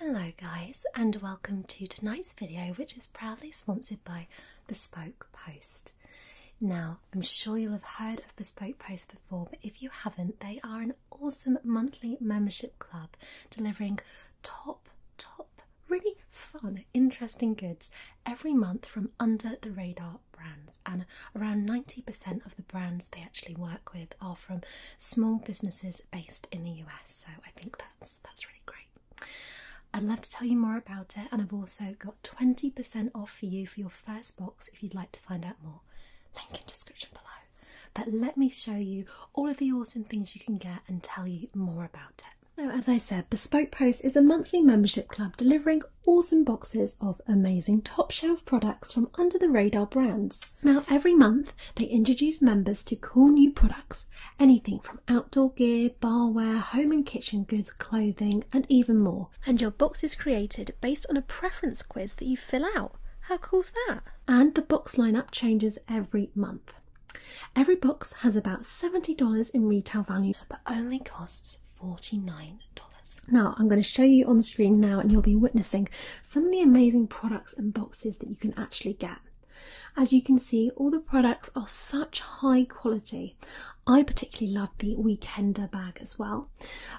Hello guys and welcome to tonight's video which is proudly sponsored by Bespoke Post. Now I'm sure you'll have heard of Bespoke Post before but if you haven't they are an awesome monthly membership club delivering top top really fun interesting goods every month from under the radar brands and around 90% of the brands they actually work with are from small businesses based in the US. So I think that's that's really great. I'd love to tell you more about it, and I've also got 20% off for you for your first box if you'd like to find out more. Link in description below. But let me show you all of the awesome things you can get and tell you more about it. So as I said, Bespoke Post is a monthly membership club delivering awesome boxes of amazing top shelf products from under the radar brands. Now, every month they introduce members to cool new products anything from outdoor gear, barware, home and kitchen goods, clothing, and even more. And your box is created based on a preference quiz that you fill out. How cool's that? And the box lineup changes every month. Every box has about $70 in retail value but only costs $49. Now, I'm going to show you on screen now, and you'll be witnessing some of the amazing products and boxes that you can actually get. As you can see, all the products are such high quality. I particularly love the Weekender bag as well.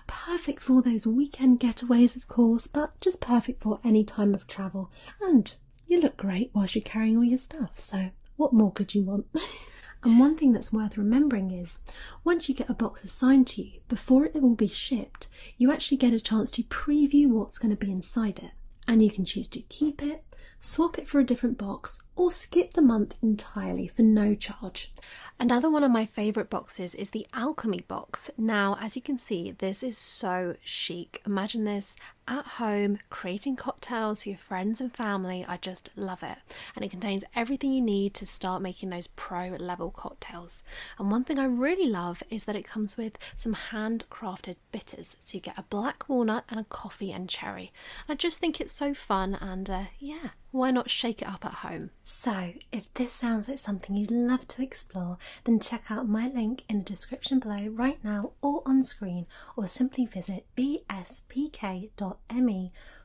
Perfect for those weekend getaways, of course, but just perfect for any time of travel. And you look great whilst you're carrying all your stuff, so what more could you want? and one thing that's worth remembering is once you get a box assigned to you, before it will be shipped, you actually get a chance to preview what's going to be inside it, and you can choose to keep it, swap it for a different box, or skip the month entirely for no charge. Another one of my favourite boxes is the Alchemy box. Now, as you can see, this is so chic. Imagine this at home, creating cocktails for your friends and family. I just love it. And it contains everything you need to start making those pro level cocktails cocktails. And one thing I really love is that it comes with some handcrafted bitters. So you get a black walnut and a coffee and cherry. I just think it's so fun and uh, yeah, why not shake it up at home? So if this sounds like something you'd love to explore, then check out my link in the description below right now or on screen, or simply visit bspk.me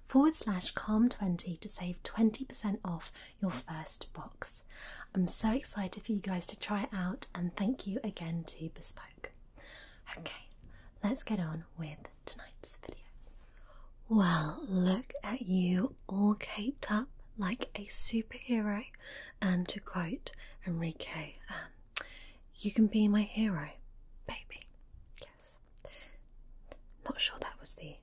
forward slash calm20 to save 20% off your first box. I'm so excited for you guys to try it out and thank you again to Bespoke. Okay, let's get on with tonight's video. Well, look at you all caped up like a superhero, and to quote Enrique, um, you can be my hero, baby. Yes. Not sure that was the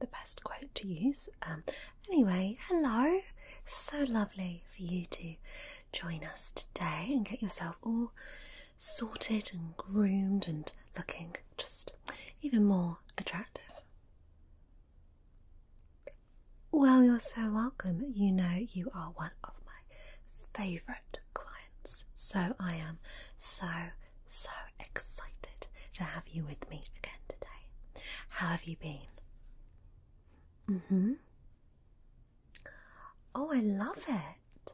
the best quote to use. Um, anyway, hello. So lovely for you to join us today and get yourself all sorted and groomed and looking just even more attractive. Well, you're so welcome. You know, you are one of my favourite clients, so I am so so excited to have you with me again today. How have you been? Mm hmm. Oh, I love it.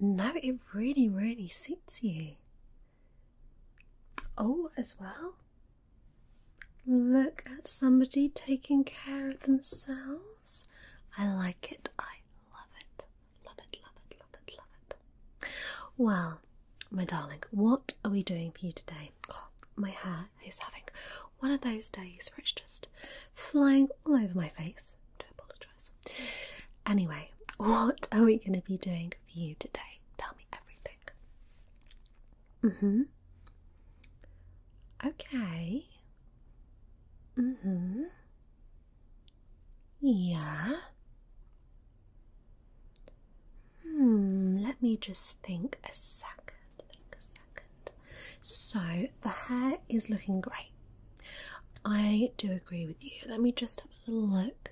No, it really, really suits you. Oh, as well. Look at somebody taking care of themselves. I like it. I love it. Love it, love it, love it, love it. Well, my darling, what are we doing for you today? Oh, my hair is having one of those days where it's just flying all over my face. do apologise. Anyway, what are we going to be doing for you today? Tell me everything. Mm hmm. Okay. Mm hmm. Yeah. Hmm, let me just think a second. So the hair is looking great. I do agree with you. Let me just have a little look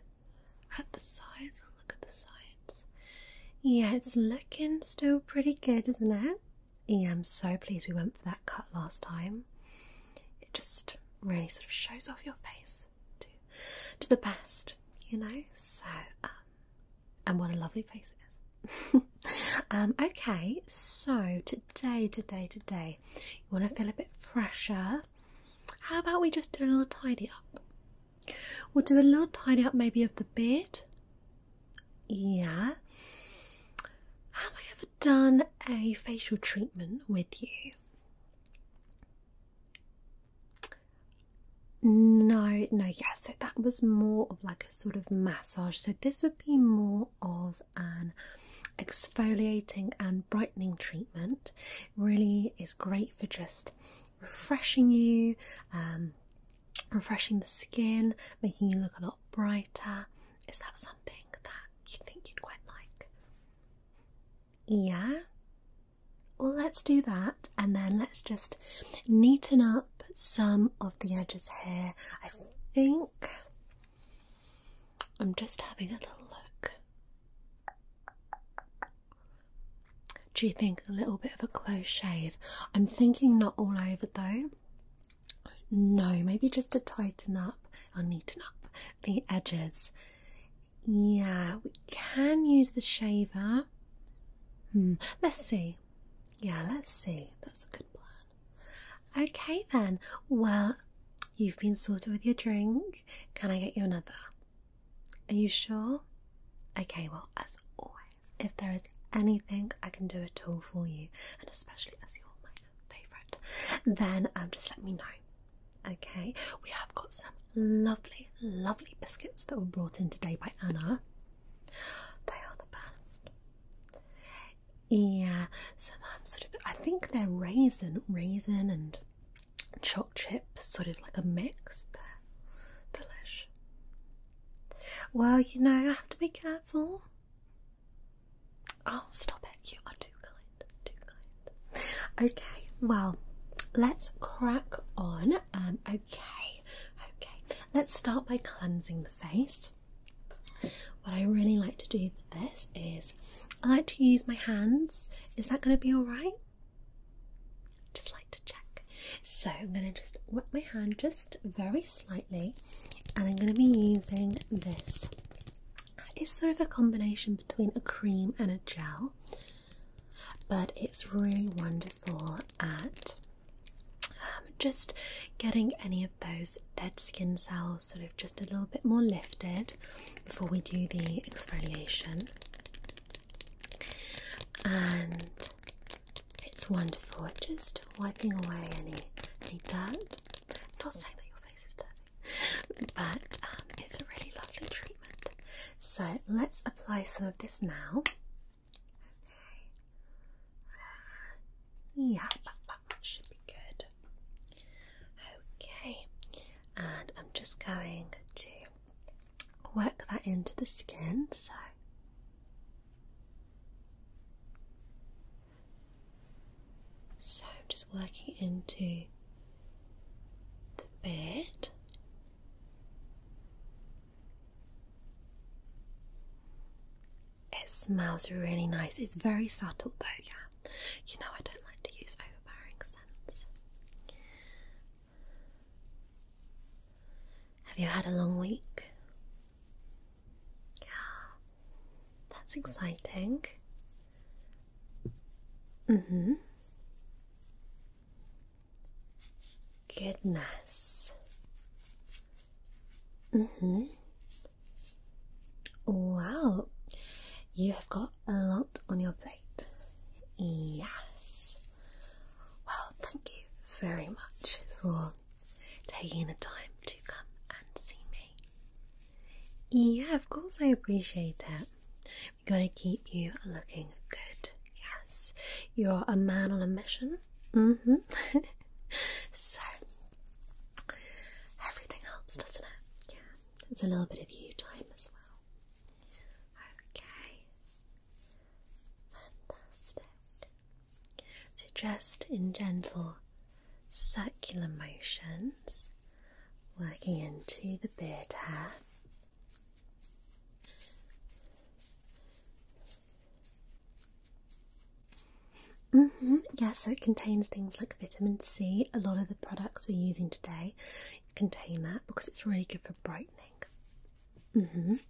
at the sides. look at the sides. Yeah, it's looking still pretty good, isn't it? Yeah, I'm so pleased we went for that cut last time. It just really sort of shows off your face close to the best, you know. So, um, and what a lovely face it is. Um, okay, so today, today, today, you want to feel a bit fresher. How about we just do a little tidy up? We'll do a little tidy up, maybe of the bed. Yeah. Have I ever done a facial treatment with you? No, no, yeah, so that was more of like a sort of massage. So this would be more of an exfoliating and brightening treatment. Really is great for just refreshing you, um, refreshing the skin, making you look a lot brighter. Is that something that you think you'd quite like? Yeah. Well, let's do that and then let's just neaten up some of the edges here. I think I'm just having a little look. Do you think a little bit of a close shave? I'm thinking not all over though. No, maybe just to tighten up and neaten up the edges yeah, we can use the shaver. Hmm, let's see. Yeah, let's see. That's a good plan. Okay, then. Well, you've been sorted with your drink. Can I get you another? Are you sure? Okay, well, as always, if there is anything I can do at all for you, and especially as you're my favourite, then um, just let me know. Okay, we have got some lovely, lovely biscuits that were brought in today by Anna. They are the best. Yeah, some um, sort of, I think they're raisin, raisin and choc chips, sort of like a mix. They're delish. Well, you know, I have to be careful. Oh, stop it. You are too good. Okay, well, let's crack on. Um, okay, okay. Let's start by cleansing the face. What I really like to do with this is I like to use my hands. Is that going to be alright? Just like to check. So I'm going to just wet my hand just very slightly, and I'm going to be using this it's sort of a combination between a cream and a gel, but it's really wonderful at um, just getting any of those dead skin cells sort of just a little bit more lifted before we do the exfoliation. And it's wonderful just wiping away any, any dirt. Not saying that your face is dirty. but um, it's a really lovely treatment. So let's apply some of this now. Okay. yeah, should be good. Okay, and I'm just going to work that into the skin. So. So, I'm just working into the bed. It smells really nice. It's very subtle though, yeah. You know I don't like to use overpowering scents. Have you had a long week? Yeah. That's exciting. Mm-hmm. Goodness. Mm-hmm. Wow. You have got a lot on your plate. Yes. Well, thank you very much for taking the time to come and see me. Yeah, of course I appreciate that. We gotta keep you looking good. Yes, you're a man on a mission. Mm-hmm. so everything helps, doesn't it? Yeah, it's a little bit of you time as well. Okay, fantastic. So just in gentle circular motions working into the beard hair. Mm Yeah, so it contains things like vitamin C. A lot of the products we're using today contain that because it's really good for brightening. Mm-hmm. There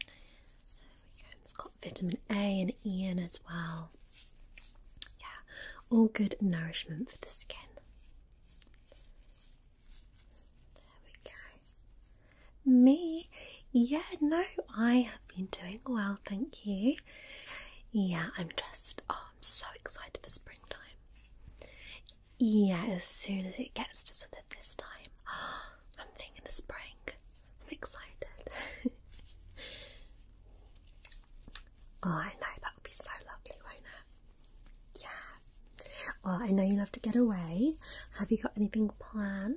we go. It's got vitamin A and E in as well. Yeah, all good nourishment for the skin. There we go. Me? Yeah, no, I have been doing well, thank you. Yeah, I'm just, oh, I'm so excited for springtime. Yeah, as soon as it gets to sort of this time, I'm thinking of spring. I'm excited. Oh, I know that would be so lovely, won't it? Yeah. Well, oh, I know you love to get away. Have you got anything planned?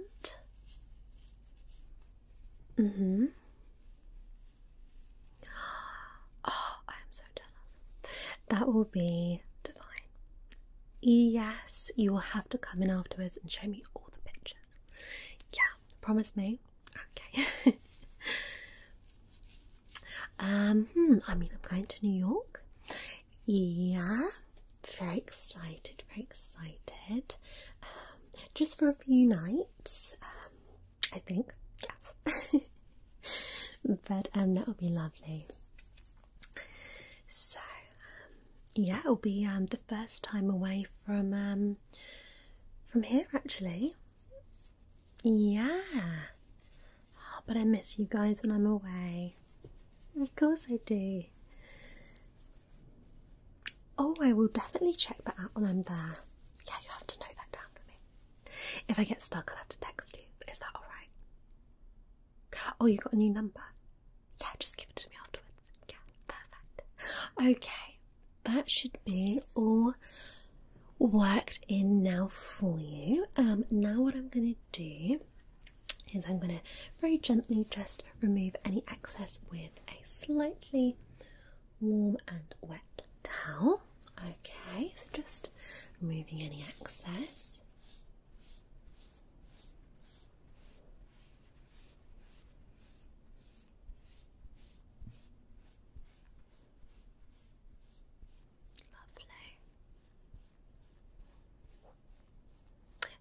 Mm hmm. Oh, I am so jealous. That will be divine. Yes, you will have to come in afterwards and show me all the pictures. Yeah, promise me Okay. um, hmm, I mean, I'm going to New York. Yeah, very excited, very excited. Um, just for a few nights, um, I think. Yes. but um, that will be lovely. So, um, yeah, it'll be um the first time away from um from here actually. Yeah. Oh, but I miss you guys when I'm away. Of course I do. Oh, I will definitely check that out when I'm there. Yeah, you have to note that down for me. If I get stuck, I'll have to text you. Is that alright? Oh, you got a new number? Yeah, just give it to me afterwards. Yeah, perfect. Okay, that should be all worked in now for you. Um, now, what I'm going to do is I'm going to very gently just remove any excess with a slightly warm and wet towel. Okay, so just removing any excess. Lovely.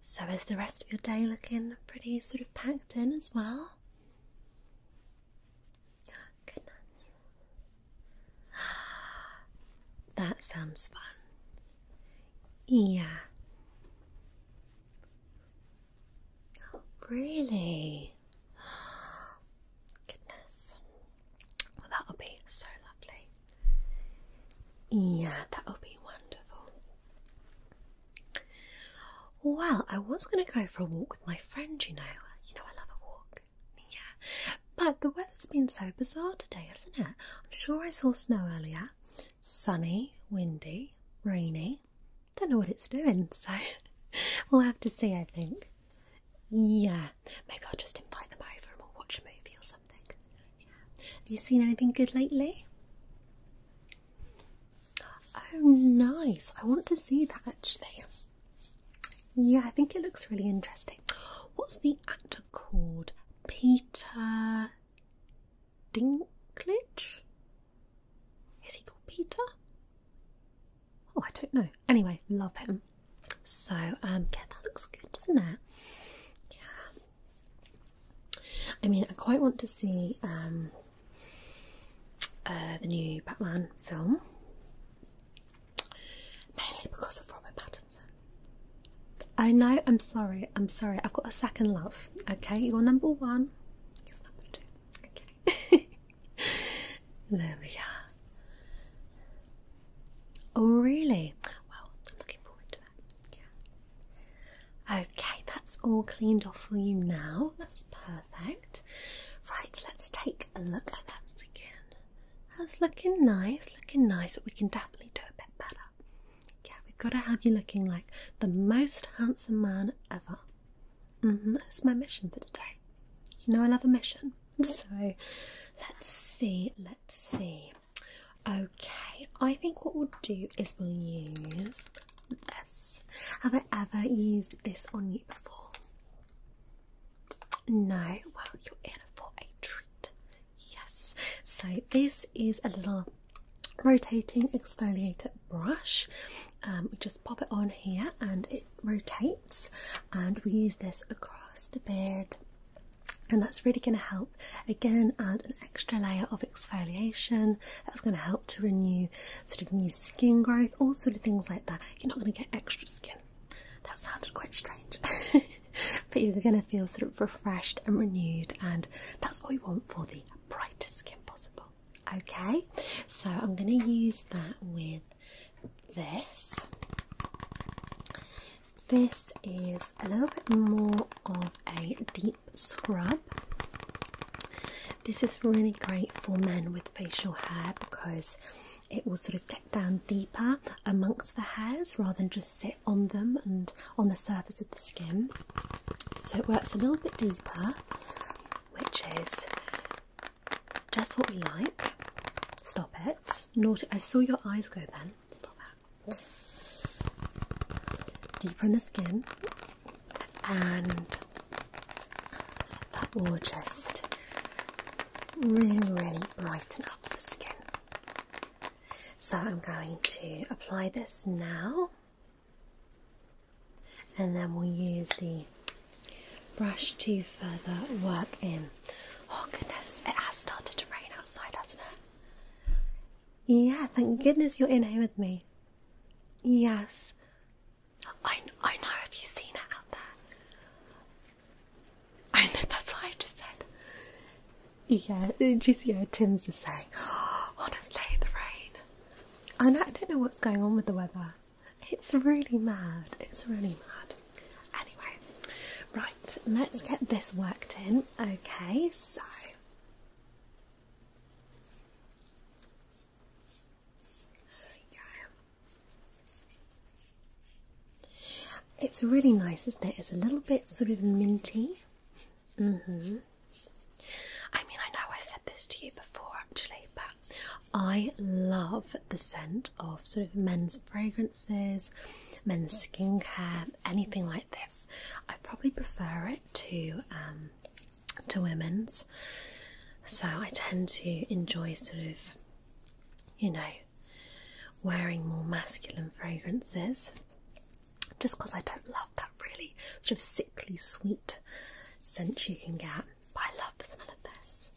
So, is the rest of your day looking pretty sort of packed in as well? Oh, goodness. That sounds fun. Yeah. Really? Goodness. that'll be so lovely. Yeah, that'll be wonderful. Well, I was going to go for a walk with my friend, you know. You know, I love a walk. Yeah. But the weather's been so bizarre today, hasn't it? I'm sure I saw snow earlier. Sunny, windy, rainy okay. Don't know what it's doing, so we'll have to see, I think. Yeah, maybe I'll just invite them over and we'll watch a movie or something. Have you seen anything good lately? Oh, nice. I want to see that actually. Yeah, I think it looks really interesting. What's the actor called? Peter Dinklage? Is he called Peter? Oh, I don't know. Anyway, love him. So, um, yeah, that looks good, doesn't it? Yeah. I mean, I quite want to see um, uh, the new Batman film, mainly because of Robert Pattinson. I know. I'm sorry. I'm sorry. I've got a second love. Okay, you're number one. It's number two. Okay. there we are. Oh, really? Well, I'm looking forward to it. Okay, that's all cleaned off for you now. That's perfect. Right, let's take a look at that again. That's looking nice, looking nice, but we can definitely do a bit better. Yeah, we've got to have you looking like the most handsome man ever. Mm-hmm. that's my mission for today. You know I love a mission. So let's see, let's see. Okay, I think what we'll do is we'll use this. Have I ever used this on you before? No, well, you're in for a treat. Yes, so this is a little rotating exfoliator brush. Um, we just pop it on here and it rotates, and we use this across the beard, and that's really going to help again add an extra layer of exfoliation. That's going to help to renew sort of new skin growth, all sort of things like that. You're not going to get extra skin. That sounded quite strange. but you're going to feel sort of refreshed and renewed, and that's what we want for the brightest skin possible. Okay, so I'm going to use that with this. This is a little bit more of a deep scrub. This is really great for men with facial hair because it will sort of get down deeper amongst the hairs rather than just sit on them and on the surface of the skin. So it works a little bit deeper which is just what we like. Stop it. Not I saw your eyes go then. Stop it. Deeper in the skin. And that will just really, really brighten up the skin. So I'm going to apply this now and then we'll use the brush to further work in. Oh goodness, it has started to rain outside, hasn't it? Yeah, thank goodness you're in here with me. Yes. I, I know, have you seen it out there? I know, that's what I just said. Yeah, just, yeah, Tim's just saying, honestly, the rain. I don't know what's going on with the weather. It's really mad. It's really mad. Anyway, right, let's get this worked in. Okay, so. There we go. It's really nice, isn't it? It's a little bit sort of minty. hmm I mean, I know I said this to you before actually, but I love the scent of sort of men's fragrances, men's skincare, anything like this. I probably prefer it to um, to women's, so I tend to enjoy sort of, you know, wearing more masculine fragrances just because I don't love that really sort of sickly sweet scent you can get. But I love the smell of this.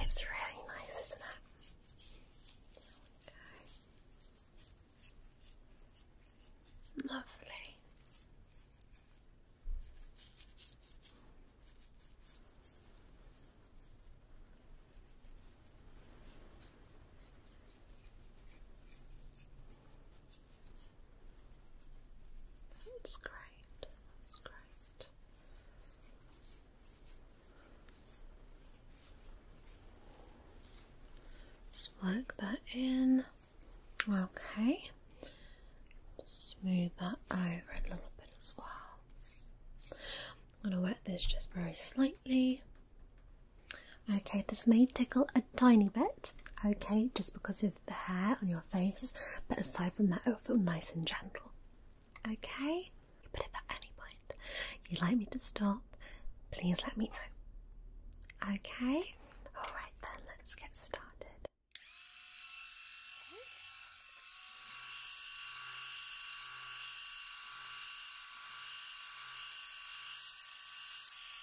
It's really nice, isn't it? Lovely. That's great. That's great. Just work that in. Okay. Smooth that over a little bit as well. I'm going to wet this just very slightly. Okay, this may tickle a tiny bit, okay, just because of the hair on your face, but aside from that, it'll feel nice and gentle. Okay? But at any point you'd like me to stop, please let me know. Okay? Alright then, let's get started.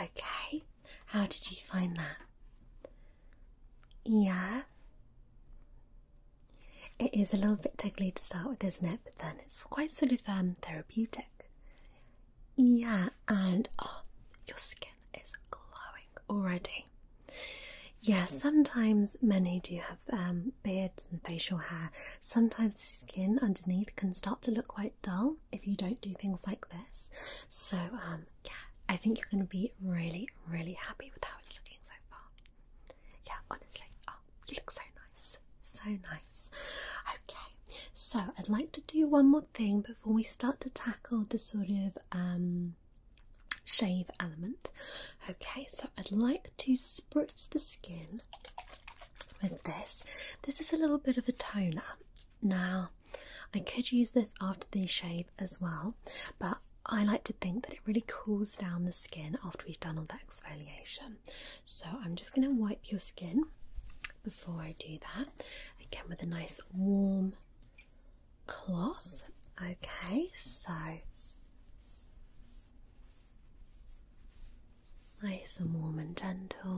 Okay, how did you find that? Yeah. It is a little bit tickly to start with, isn't it? But then it's quite sort of um, therapeutic. Yeah, and oh, your skin is glowing already. Yeah, sometimes many do have um, beards and facial hair. Sometimes the skin underneath can start to look quite dull if you don't do things like this. So, um, yeah, I think you're going to be really, really happy with how it's looking so far. Yeah, honestly, oh, you look so nice. So nice. Okay, so I'd like to do one more thing before we start to tackle the sort of um, shave element. Okay, so I'd like to spritz the skin with this. This is a little bit of a toner. Now, I could use this after the shave as well, but I like to think that it really cools down the skin after we've done all that exfoliation. So I'm just going to wipe your skin before I do that. Again, with a nice warm cloth. Okay, so nice and warm and gentle.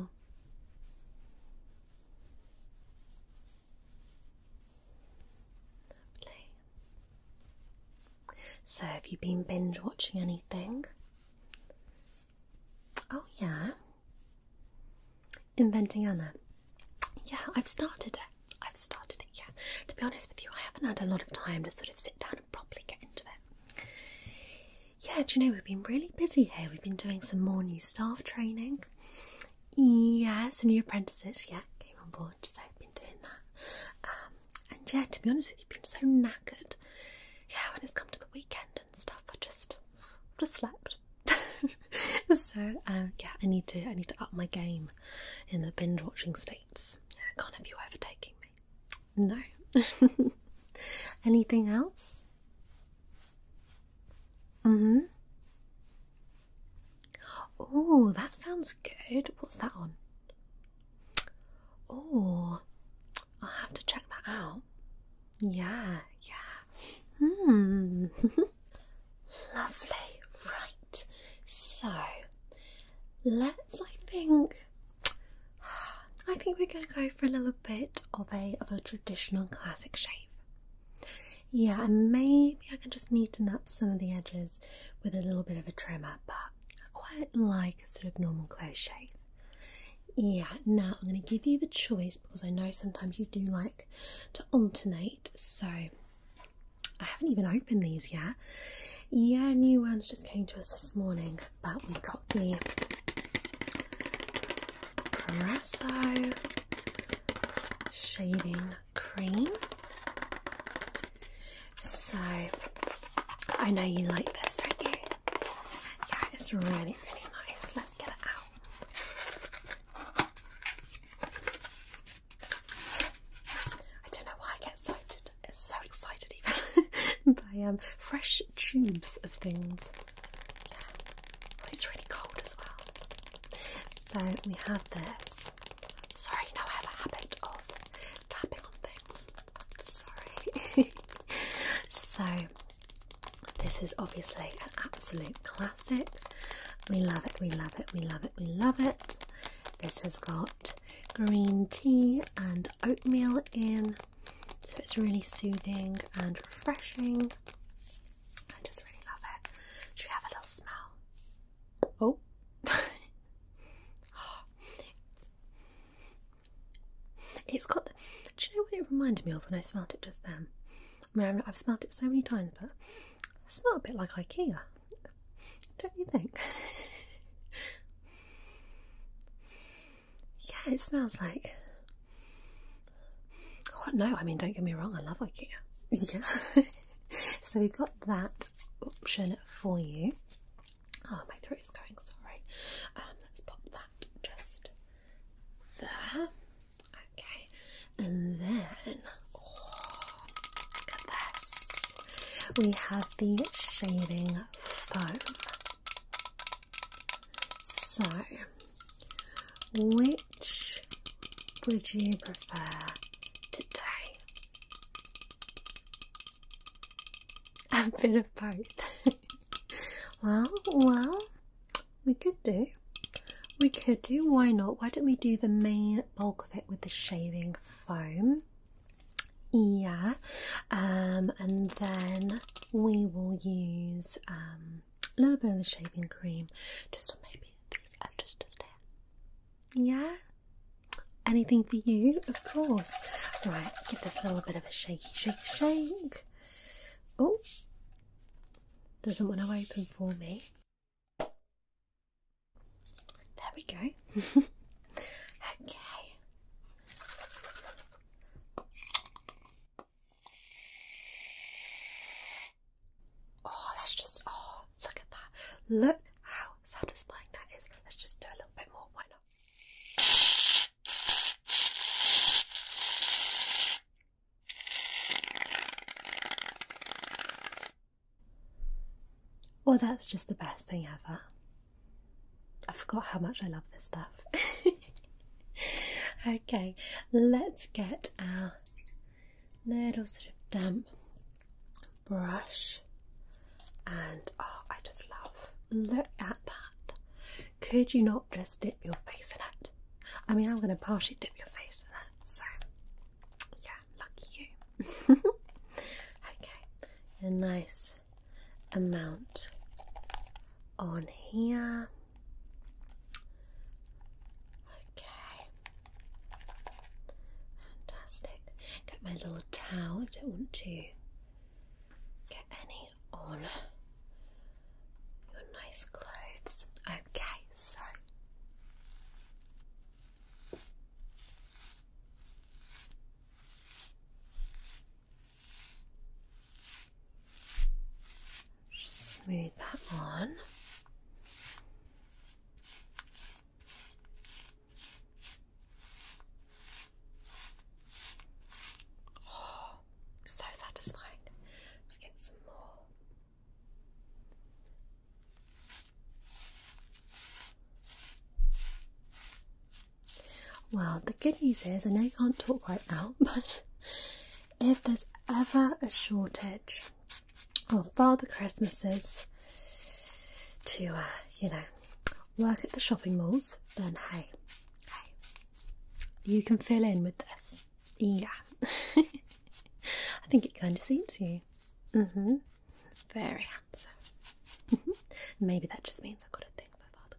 Lovely. So, have you been binge watching anything? Oh, yeah inventing Anna. Yeah, I've started it. I've started it, yeah. To be honest with you, I haven't had a lot of time to sort of sit down and properly get into it. Yeah, do you know, we've been really busy here. We've been doing some more new staff training. Yeah, some new apprentices, yeah, came on board, so I've been doing that. Um, and yeah, to be honest with you, been so knackered. Yeah, when it's come to the weekend and stuff, I just, just slept. so um, yeah, I need to I need to up my game in the binge watching states. I can't have you overtaking me. No. Anything else? hmm. Oh, that sounds good. What's that on? Oh, I'll have to check that out. Yeah, yeah. Hmm. Lovely, right. So let's I think I think we're gonna go for a little bit of a of a traditional classic shave. Yeah, and maybe I can just neaten up some of the edges with a little bit of a trimmer, but I quite like a sort of normal close shave. Yeah, now I'm gonna give you the choice because I know sometimes you do like to alternate. So I haven't even opened these yet. Yeah, new ones just came to us this morning, but we got the Carrasso shaving cream. So I know you like this, don't you? Yeah, it's really, really nice. Let's get it out. I don't know why I get excited, so excited even, by um, fresh tubes of things. it's really cold as well. So we have this. Sorry, you know I have a habit of tapping on things. Sorry. so this is obviously an absolute classic. We love it, we love it, we love it, we love it. This has got green tea and oatmeal in, so it's really soothing and refreshing. I just really love it. Should we have a little smell? Oh. It's got, do you know what it reminded me of when I smelled it just then? I mean, I've smelled it so many times, but it smells a bit like IKEA, don't you think? yeah, it smells like. What? Oh, no, I mean, don't get me wrong, I love IKEA. Yeah. so we've got that option for you. Oh, my throat is going, sorry. Um, let's pop that just there. Okay, and then oh, look at this. We have the shaving foam. So, which would you prefer today? A bit of both. well, well, we could do. We could do. Why not? Why don't we do the main bulk of it with the shaving foam? Yeah. Um, and then we will use um, a little bit of the shaving cream just on maybe these edges just Yeah? Anything for you? Of course. Right, give this a little bit of a shake, shake, shake. Oh, doesn't want to open for me. There we go. okay. Oh, let's just, oh, look at that. Look how satisfying that is. Let's just do a little bit more. Why not? Well, that's just the best thing ever. I forgot how much I love this stuff. okay, let's get our little sort of damp brush. And oh, I just love, look at that. Could you not just dip your face in it? I mean, I'm going to partially dip your face in it, so yeah, lucky you. okay, a nice amount on here. Okay, fantastic. Get my little towel, I don't want to get any on your nice clothes. Okay, so smooth that on. Oh, so satisfying. Let's get some more. Well, the good news is I know you can't talk right now, but if there's ever a shortage of Father Christmases to, uh, you know, work at the shopping malls, then hey, hey, you can fill in with this. Yeah. I think it kind of suits you. Mm hmm. Very handsome. Mm-hmm. Maybe that just means I got a thing for Father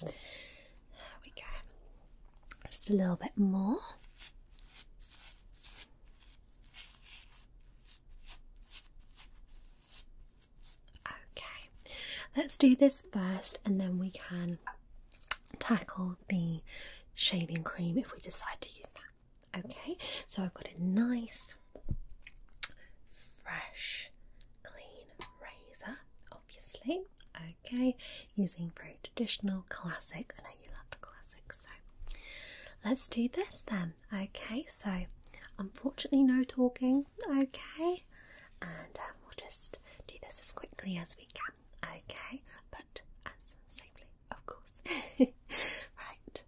Christmas. There we go. Just a little bit more. Okay, let's do this first and then we can tackle the shading cream if we decide to use that. Okay, so I've got a nice, fresh, clean razor, obviously. Okay, using very traditional, classic. I know you love the classic, so let's do this then. Okay, so unfortunately, no talking. Okay, and um, we'll just do this as quickly as we can, okay? But as safely, of course. right.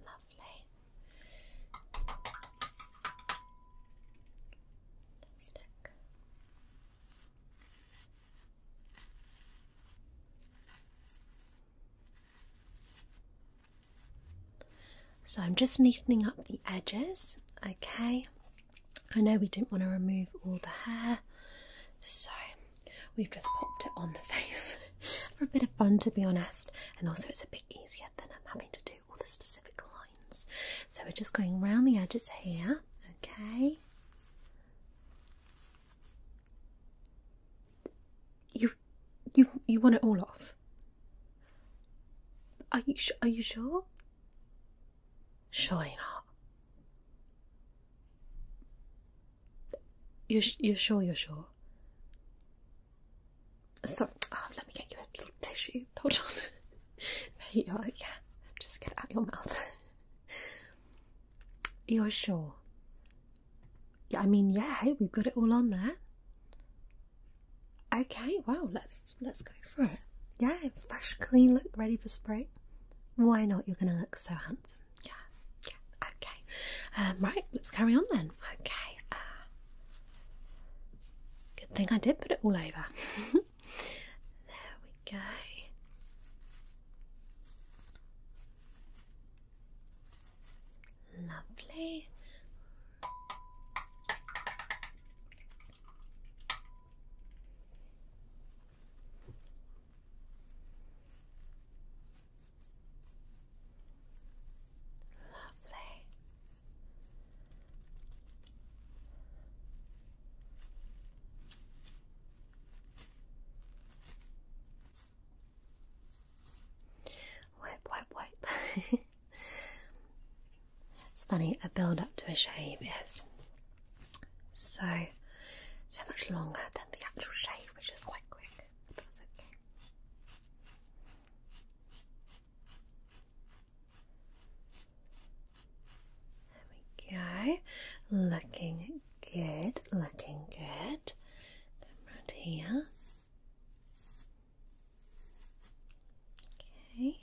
Lovely. Fantastic. So I'm just neatening up the edges, okay? I know we didn't want to remove all the hair, so we've just popped it on the face for a bit of fun to be honest, and also it's a bit easier than I'm having to do all the specific lines. So we're just going round the edges here, okay? You, you, you want it all off? Are you? Are you sure? Surely not. You're, you sure? You're sure? Sorry. oh, ah, let me get you a little tissue. Hold on. There you are. Yeah, just get it out your mouth. You're sure? Yeah, I mean, yeah. Hey, we've got it all on there. Okay, well, let's let's go for it. Yeah, fresh, clean look, ready for spring. Why not? You're gonna look so handsome. Yeah, yeah. Okay. Um, right, let's carry on then. Okay. Uh, good thing I did put it all over. there we Okay. Lovely. Lovely. Wipe, wipe, wipe. it's funny, a build up to a shave is so so much longer than the actual shave, which is quite quick. That's okay. There we go. Looking good, looking good. Come round here. Okay. Lovely.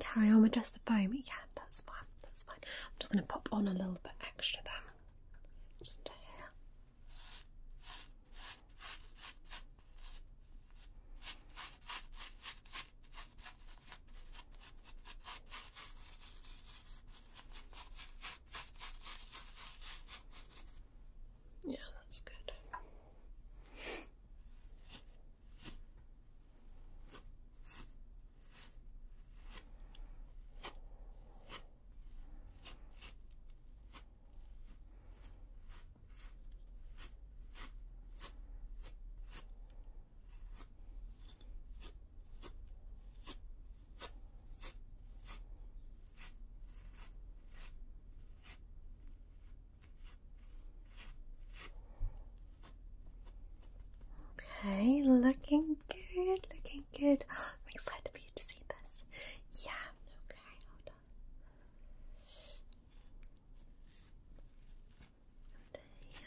Carry on with the foam. Yeah, that's fine. That's fine. I'm just going to pop on a little bit extra then. Just here. Yeah, that's good. Okay, looking good, looking good. I'm excited for you to see this. Yeah, okay, hold on. And, uh, yeah.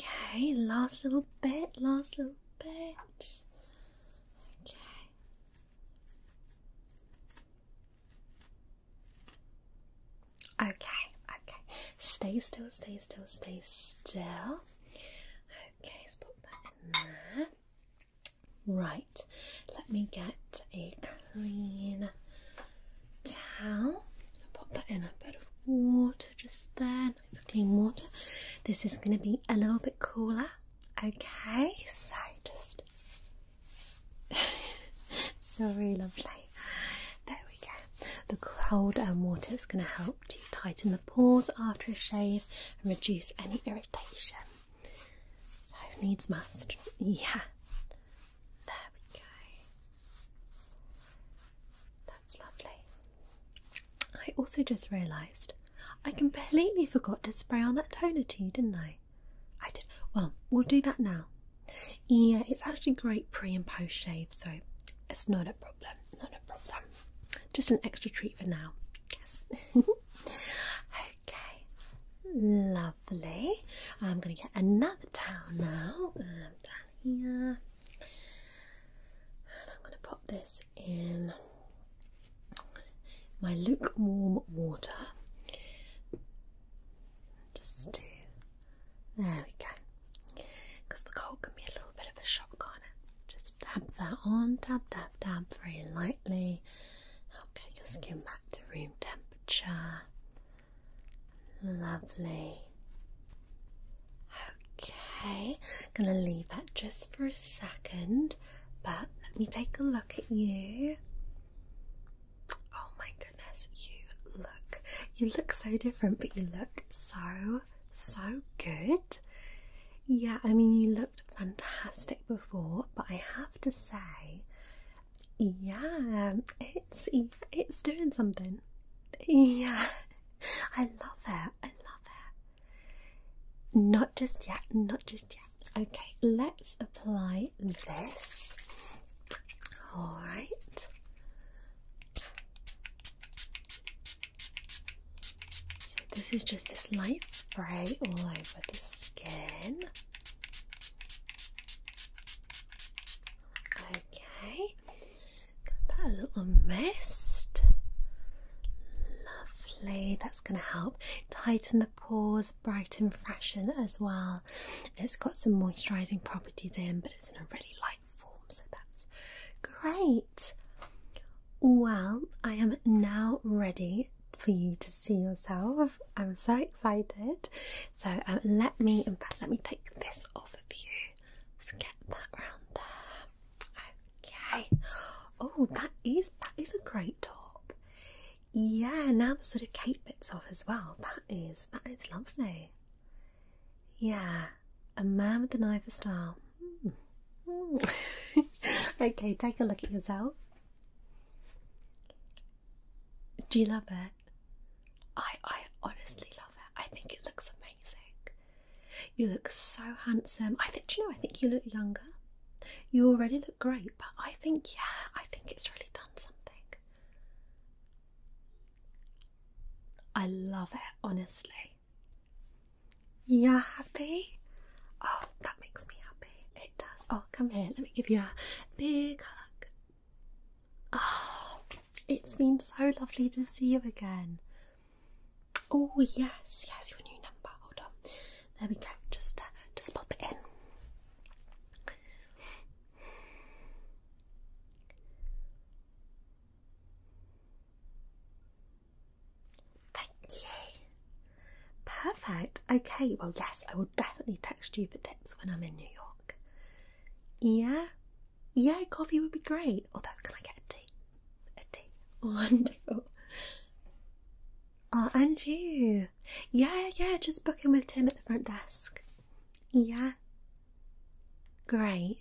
Okay, last little bit, last little bit. Okay. Okay, okay. Stay still, stay still, stay still. Okay, let's put that in there. Right, let me get a clean towel. Pop that in a bit of water just there. Nice clean water. This is going to be a little bit cooler. Okay, so just. so really lovely there we go. The cold and water is going to help to tighten the pores after a shave and reduce any irritation. Who needs must. Yeah, there we go. That's lovely. I also just realised I completely forgot to spray on that toner to you, didn't I? I did. Well, we'll do that now. Yeah, it's actually great pre and post shave, so it's not a problem not a problem. Just an extra treat for now. Yes. okay. Lovely. I'm gonna get another towel now. Um, and I'm gonna pop this in my lukewarm water. Just to there we go. Because the cold can be a little bit of a shock, on it? Just dab that on, dab, dab, dab very lightly. Help get your skin back to room temperature. Lovely. Okay, I'm gonna leave that just for a second, but let me take a look at you. Oh my goodness, you look you look so different, but you look so, so good. Yeah, I mean, you looked fantastic before, but I have to say, yeah, it's it's doing something. Yeah, I love it. I love it. Not just yet. Not just yet. Okay, let's apply this. All right. So this is just this light spray all over the skin. Okay, got that little mist. Lovely, that's going to help tighten the pores, brighten, freshen as well. It's got some moisturising properties in, but it's in a really light so that's great. Well, I am now ready for you to see yourself. I'm so excited. So um, let me, in fact, let me take this off of you. Let's get that round there. Okay. Oh, that is that is a great top. Yeah, now the sort of cape bits off as well. That is that is lovely. Yeah, a man with a knife of style. Mm. okay, take a look at yourself. Do you love it? I I honestly love it. I think it looks amazing. You look so handsome. I think do you know. I think you look younger. You already look great, but I think yeah, I think it's really done something. I love it, honestly. You're happy? Oh, that makes me happy. It does. Oh, come here. Let me give you a big hug. Oh, it's been so lovely to see you again. Oh, yes, yes, your new number. Hold on. There we go. Just, uh, just pop it in. Thank you. Perfect. Okay, well, yes, I will definitely text you for tips when I'm in New York. Yeah, yeah, coffee would be great. Although, can I get a tea? A tea. Wonderful. Oh, and you. Yeah, yeah, just booking with Tim at the front desk. Yeah, Great.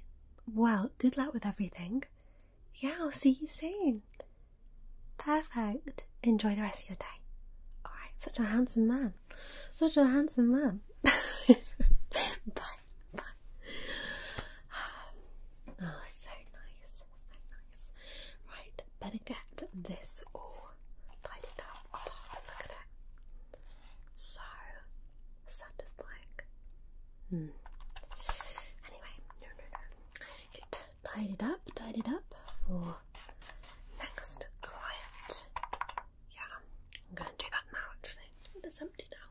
Well, good luck with everything. Yeah, I'll see you soon. Perfect. Enjoy the rest of your day. Alright, such a handsome man. Such a handsome man. bye. Bye. Oh, so nice. So nice. Right, better get this all tidied up. Oh, look at it. So satisfying. Hmm. Anyway, no, no, no. Get tied it up, tied it up for next client. Yeah, I'm going to do that now actually. It's empty now.